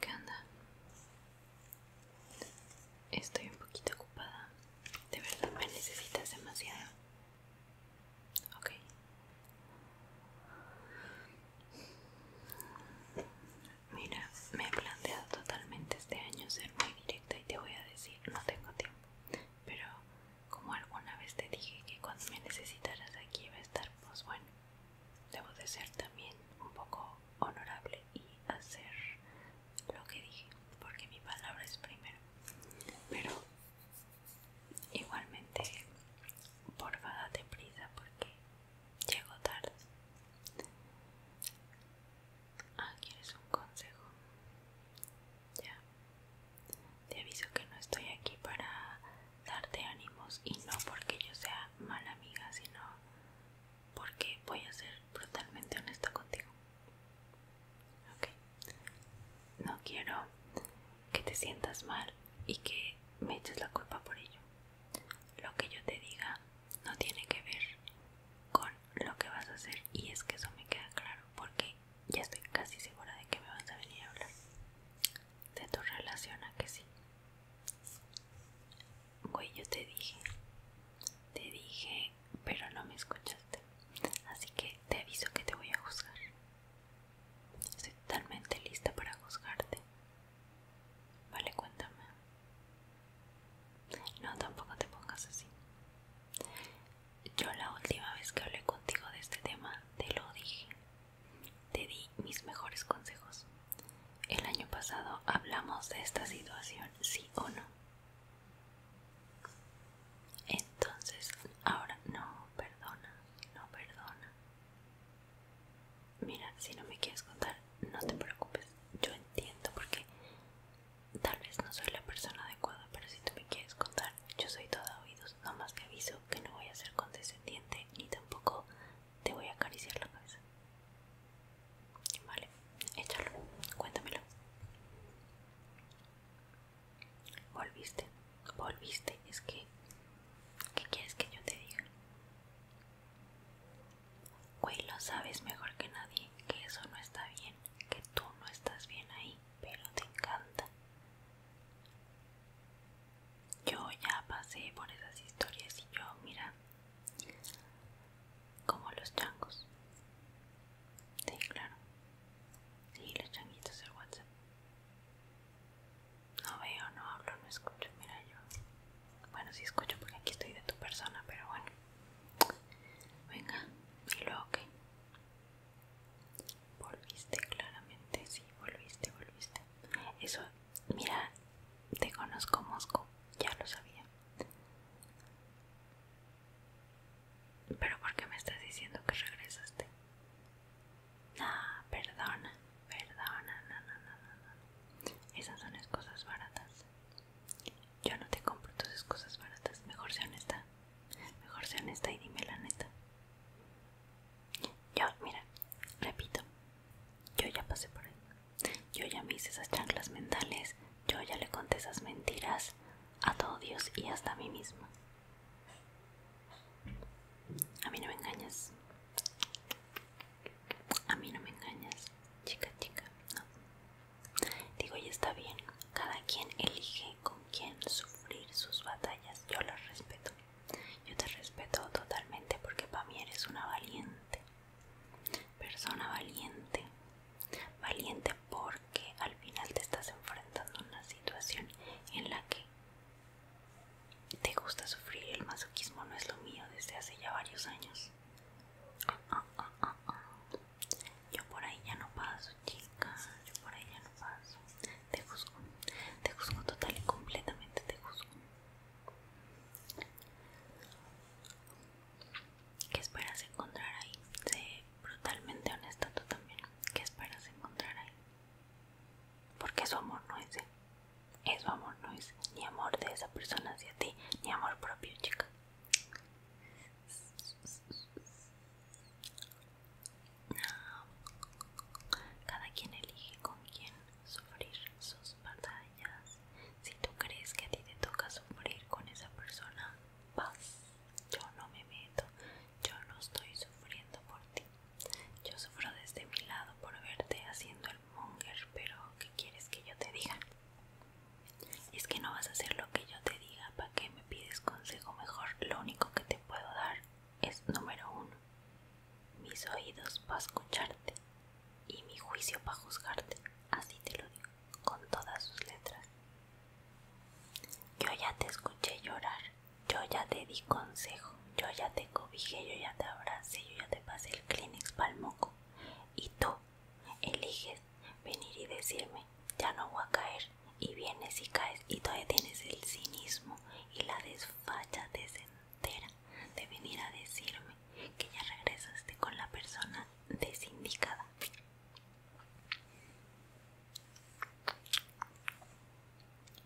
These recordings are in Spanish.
¿Qué onda? Estoy un poquito ocupada. ¿De verdad me necesitas demasiado? Ok. Mira, me he planteado totalmente este año ser muy directa y te voy a decir, no tengo tiempo. Pero como alguna vez te dije que cuando me necesitaras aquí iba a estar, pues bueno, debo de ser también un poco honorable y hacer lo que dije, porque mi palabra es primero. Pero igualmente, porfa, date prisa porque llego tarde. Ah, ¿quieres un consejo? Ya. Te aviso que no estoy aquí para darte ánimos y no porque yo sea mala amiga, sino porque voy a ser brutalmente honesta contigo. Ok. No quiero que te sientas mal y que me eches la culpa por ello. Lo que yo te diga no tiene que ver con lo que vas a hacer y es que eso me queda claro porque ya estoy casi segura de que me vas a venir a hablar de tu relación a que sí. Güey, yo te dije, te dije, pero no me escuchaste. Así que te aviso que te voy a juzgar. Estoy totalmente lista para juzgarte. Vale, cuéntame. No, tampoco te pongas así. Yo la última vez que hablé contigo de este tema te lo dije. Te di mis mejores consejos. El año pasado hablamos de esta situación, sí o no. Entonces, ahora no, perdona, no perdona. Mira, si no me quieres contar, no te preocupes. Yo entiendo porque Tal vez no soy la persona adecuada, pero si tú me quieres contar, yo soy toda oídos, nomás te aviso que no voy a ser condescendiente ni tampoco te voy a acariciar la cabeza. Vale, échalo, cuéntamelo. Volviste, volviste, es que... ¿Qué quieres que yo te diga? Güey, lo sabes mejor que nadie, que eso no está bien, que tú no estás bien ahí pero te encanta. Yo ya pasé por esas historias y yo, mira, como los changos. Sí, claro. Sí, los changuitos del WhatsApp. No veo, no hablo, no escucho, mira yo. Bueno, si escucho porque aquí estoy de tu persona, pero bueno. Venga, ¿y luego qué? Volviste, claramente, sí, volviste, volviste. Eso, mira, te conozco Mosco, ya lo sabía. Pero ¿por qué me estás diciendo que regresaste? Ah, perdona, perdona, no, no, no, no, no. Esas son las cosas baratas. Yo no te compro esas cosas baratas. Mejor sea honesta. Mejor sea honesta y dime la neta. Yo, mira, repito. Yo ya pasé por ahí. Yo ya me hice esas chanclas mentales. Yo ya le conté esas mentiras a todo Dios y hasta a mí mismo A mí no me engañas. A mí no me engañas. Chica, chica, no. Digo, y está bien, cada quien elige con quién sufrir sus batallas. Yo los respeto. Yo te respeto totalmente porque para mí eres una valiente. Persona valiente. Valiente porque al final te estás enfrentando a una situación en la que te gusta sufrir. El masoquismo no es lo mío desde hace ya varios años. Ah, ah, ah, yo por ahí ya no paso, chica. Yo por ahí ya no paso. Te juzgo. Te juzgo total y completamente. Te juzgo. ¿Qué esperas encontrar ahí? Sé brutalmente honesta tú también. ¿Qué esperas encontrar ahí? Porque su amor no es él. Es su amor no es ni amor de esa persona hacia ti, ni amor propio, chica. Cada quien elige con quién sufrir sus batallas. Si tú crees que a ti te toca sufrir con esa persona, vas. Yo no me meto. Yo no estoy sufriendo por ti. Yo sufro desde mi lado por verte haciendo el monger, pero ¿qué quieres que yo te diga? Es que no vas a hacer lo que yo te diga, ¿para que me pides consejo mejor? Lo único que te puedo dar es número uno. Mis oídos para escucharte y mi juicio para juzgarte. Así te lo digo, con todas sus letras. Yo ya te escuché llorar, yo ya te di consejo, yo ya te cobijé, yo ya te abracé, yo ya te pasé el Kleenex palmoco. Y tú Eliges venir y decirme, ya no voy a caer. Y vienes y caes y todavía tienes el cinismo y la desfachatez entera de venir a decirme que ya regresaste con la persona desindicada.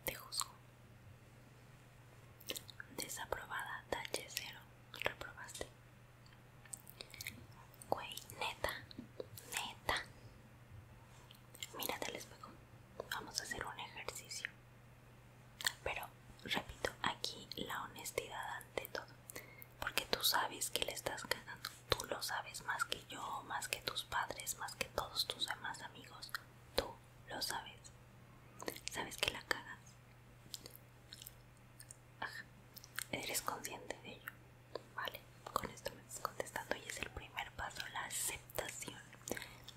Te juzgo. Desaprobada, tache cero. Reprobaste. Güey, neta, neta. Mírate les espejo. Vamos a hacer un ejercicio. Pero, repito, aquí la honestidad ante todo. Porque tú sabes que le estás cagando. Tú lo sabes más que yo, más que tus padres, más que todos tus demás amigos. Tú lo sabes. Sabes que la cagas. Ajá. Eres consciente de ello. Vale, con esto me estás contestando y es el primer paso, la aceptación.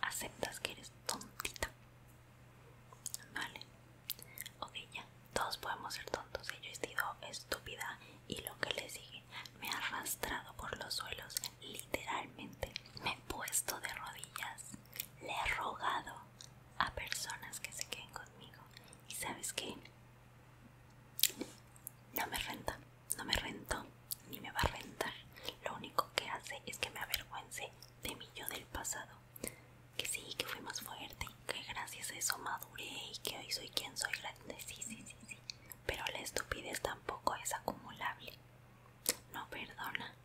Aceptas que eres tontita. Vale. Ok, ya. Todos podemos ser tontos. Yo he sido estúpida y lo que le sigue. Me ha arrastrado por los suelos. Literalmente. Me he puesto de rodillas. Le he rogado a personas que se queden conmigo. Y sabes que No me renta, no me rento, ni me va a rentar. Lo único que hace es que me avergüence de mí yo del pasado. Que sí, que fui más fuerte, que gracias a eso maduré y que hoy soy quien soy sí, sí, sí. Pero la estupidez tampoco es acumulable. No perdona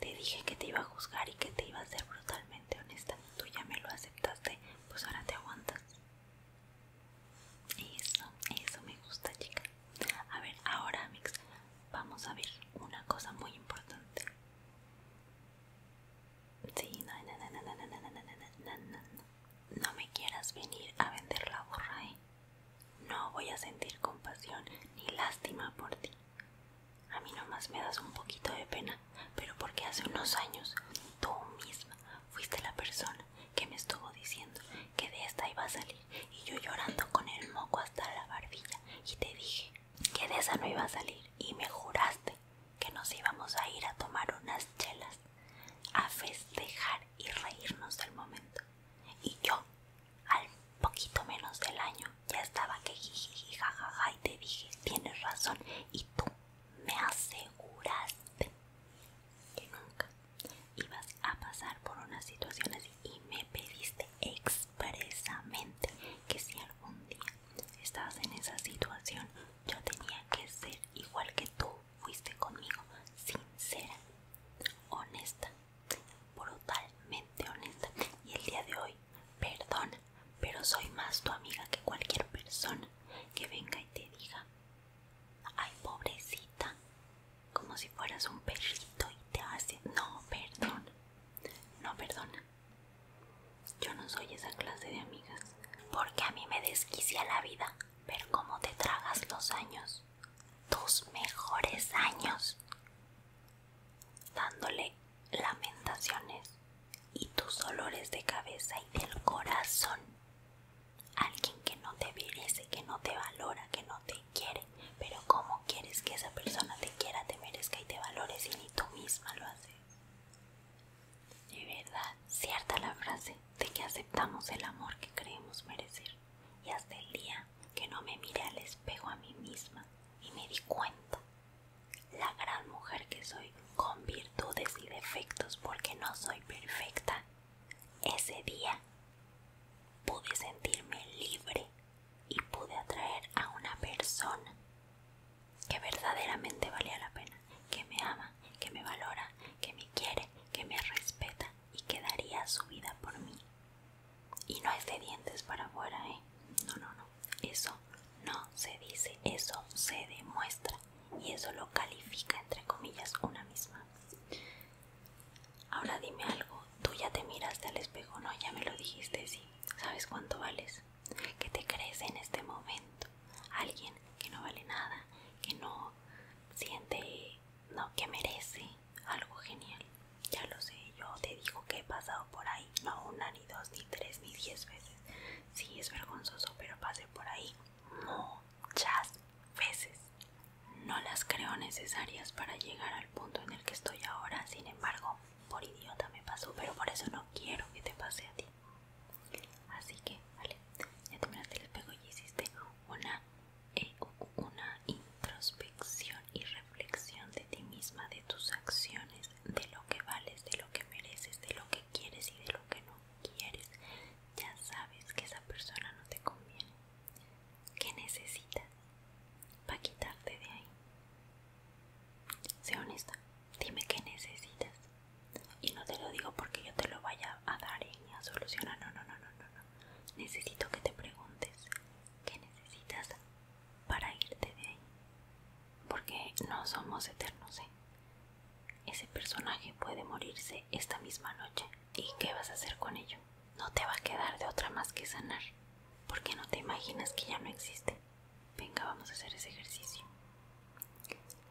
te dije que te iba a juzgar y que te iba a ser brutalmente honesta. Tú ya me lo aceptaste, pues ahora te aguantas. Eso, eso me gusta, chica. A ver, ahora, mix, vamos a ver una cosa muy importante. Sí, no, no, no, no, no, no, no, no, no, no, no. No me quieras venir a vender la borra, ¿eh? No voy a sentir compasión ni lástima por ti. A mí nomás me das un poquito de pena, pero porque hace unos años tú misma fuiste la persona que me estuvo diciendo que de esta iba a salir y yo llorando con el moco hasta la barbilla y te dije que de esa no iba a salir y me juraste que nos íbamos a ir a tomar unas chelas, a festejar y reírnos del momento. Y yo, al poquito menos del año, ya estaba que jiji jajaja y te dije, tienes razón y tú me aseguraste que nunca ibas a pasar por una situación así y me pediste expresamente que si algún día estabas en esa situación yo tenía que ser igual que tú fuiste conmigo, sincera, honesta, brutalmente honesta y el día de hoy Perdón, pero soy más tu amiga que cualquier persona que venga y te diga, ay pobrecita, como si fueras un perrito y te hace, no, perdón no, perdona. Yo no soy esa clase de amigas, porque a mí me desquicia la vida ver cómo te tragas los años, tus mejores años, dándole lamentaciones y tus olores de cabeza y del corazón. Alguien que no te merece, que no te valora, que no te quiere. Pero ¿cómo quieres que esa persona te quiera, te merezca y te valore si ni tú misma lo haces? De verdad, cierta la frase de que aceptamos el amor que creemos merecer. Y hasta el día que no me mire al espejo a mí misma y me di cuenta la gran mujer que soy con virtudes y defectos porque no soy perfecta. Ese día pude sentirme libre y pude atraer a una persona que verdaderamente valía la pena, que me ama, que me valora, que me quiere, que me respeta y que daría su vida por mí. Y no es de dientes para afuera, ¿eh? No, no, no. Eso no se dice, eso se demuestra. Y eso lo califica, entre comillas, una misma. Ahora dime algo. Tú ya te miraste al espejo, ¿no? Ya me lo dijiste, sí. ¿Sabes cuánto vales? que te crees en este momento? Alguien que no vale nada, que no siente, no, que merece algo genial. Ya lo sé, yo te digo que he pasado por ahí, no una, ni dos, ni tres, ni diez veces. Sí, es vergonzoso, pero pasé por ahí muchas veces. No las creo necesarias para llegar al punto en el que estoy ahora, sin embargo, por idiota me pasó, pero por eso no quiero que te pase a ti. Así que, vale, ya terminaste el espejo y hiciste una e una introspección y reflexión de ti misma, de tus acciones, de lo que vales, de lo que mereces, de lo que quieres y de lo que no quieres. Ya sabes que esa persona no te conviene. ¿Qué necesitas para quitarte de ahí? Sé honesta, dime qué necesitas. Y no te lo digo porque yo te lo vaya a dar y a solucionar. No, no, no, no, no. Necesito que te preguntes ¿Qué necesitas para irte de ahí. Porque no somos eternos, ¿eh? Ese personaje puede morirse esta misma noche. ¿Y qué vas a hacer con ello? No te va a quedar de otra más que sanar. Porque no te imaginas que ya no existe. Venga, vamos a hacer ese ejercicio.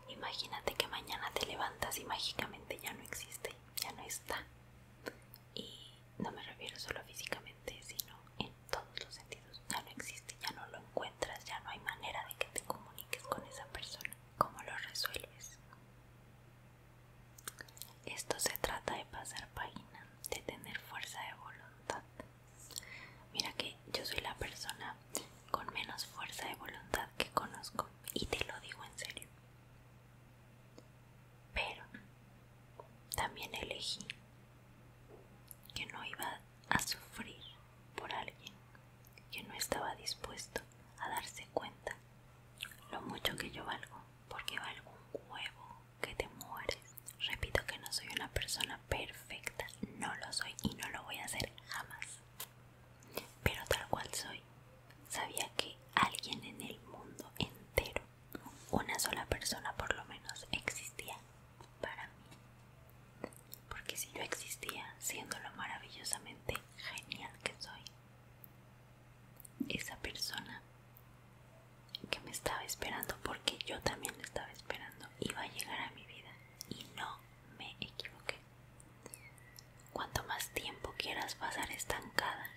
Imagínate que mañana te levantas y mágicamente ya no existe, ya no está y no me refiero solo físicamente sino en todos los sentidos ya no existe ya no lo encuentras ya no hay manera de que te comuniques con esa persona cómo lo resuelves esto se trata de pasar página de tener fuerza de voluntad mira que yo soy la persona con menos fuerza de voluntad que conozco y te lo digo en serio pero también elegí que no iba a sufrir por alguien que no estaba dispuesto a darse cuenta lo mucho que yo valgo, porque valgo un huevo que te mueres. Repito que no soy una persona perfecta, no lo soy y no lo voy a hacer jamás. Pero tal cual soy, Sabía que alguien en el mundo entero, una sola persona por lo menos, existía para mí. Porque si yo existía, siendo lo maravillosamente genial que soy, esa persona que me estaba esperando, porque yo también la estaba esperando, iba a llegar a mi vida y no me equivoqué. Cuanto más tiempo quieras pasar estancada,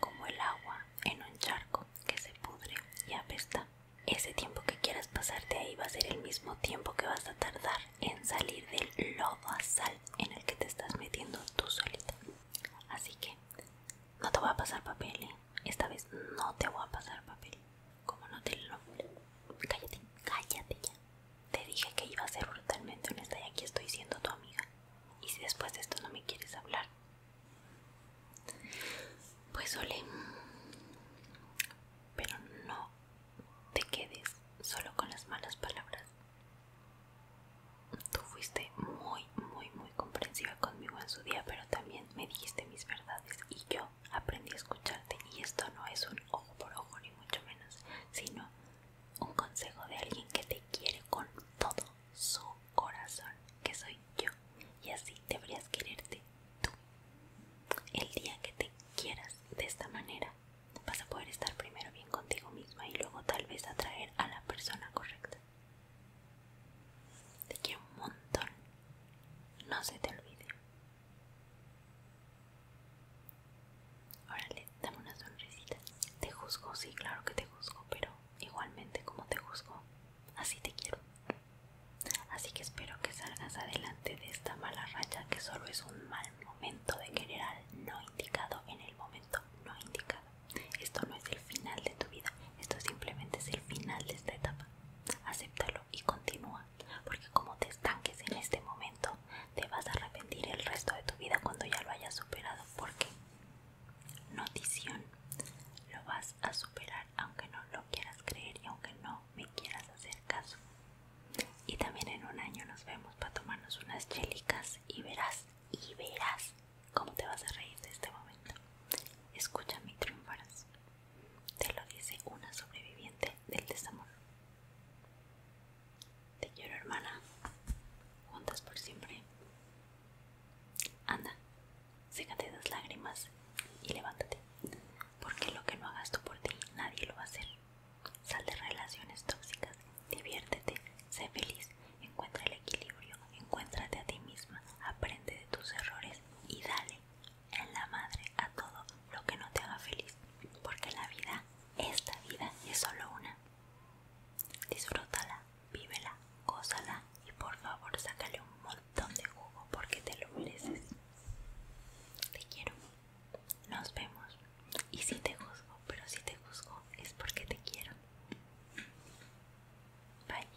como el agua en un charco que se pudre y apesta, ese tiempo que quieras pasarte ahí va a ser el mismo tiempo que vas a tardar en salir del a sal en el que te estás metiendo tú solita. Así que no te voy a pasar papel, ¿eh? esta vez no te voy a pasar papel. Como no te lo. Cállate, cállate ya. Te dije que iba a ser brutalmente honesta y aquí estoy siendo tu amiga. Y si después de esto no me quieres hablar, pues ole. Pero no te quedes solo con las malas palabras. Tú fuiste muy, muy, muy comprensiva conmigo en su día, pero también me dijiste mis verdades y yo aprendí a escucharte. Y esto no es un ojo por ojo, ni mucho menos, sino un consejo de alguien que te quiere con todo su corazón, que soy yo, y así deberías quererte tú. El día que te quieras de esta manera, vas a poder estar primero bien contigo misma y luego tal vez atraer a la persona correcta. De quiero un montón, no se te olvide. Órale, dame una sonrisita. Te juzgo, sí, claro que te juzgo, pero igualmente como te juzgo, así te quiero. Así que espero que salgas adelante de esta mala racha que solo es un mal momento de querer no indicado en el momento no indicado. Esto no es el final de tu vida, esto simplemente es el final de esta etapa. Acéptalo y continúa, porque como te estanques en este momento, te vas a arrepentir el resto de tu vida cuando ya lo hayas superado porque notición lo vas a superar aunque no lo quieras creer y aunque no me quieras hacer caso y también en un año nos vemos para tomarnos unas chelicas y verás y verás cómo te vas a reír de este momento escúchame y triunfarás te lo dice una sobreviviente del desamor te quiero, hermana. Juntas por siempre. Anda, sécate las lágrimas y levántate. Porque lo que no hagas tú por ti, nadie lo va a hacer. Sal de relaciones tóxicas, diviértete, sé feliz, encuentra el equilibrio, encuéntrate a ti misma, aprende de tus errores y dale en la madre a todo lo que no te haga feliz. Porque la vida esta vida es solo una. Disfrútala, vívela, gózala y por favor sácale un montón de jugo porque te lo mereces. Te quiero. Nos vemos. Y si te juzgo, pero si te juzgo es porque te quiero. Bye.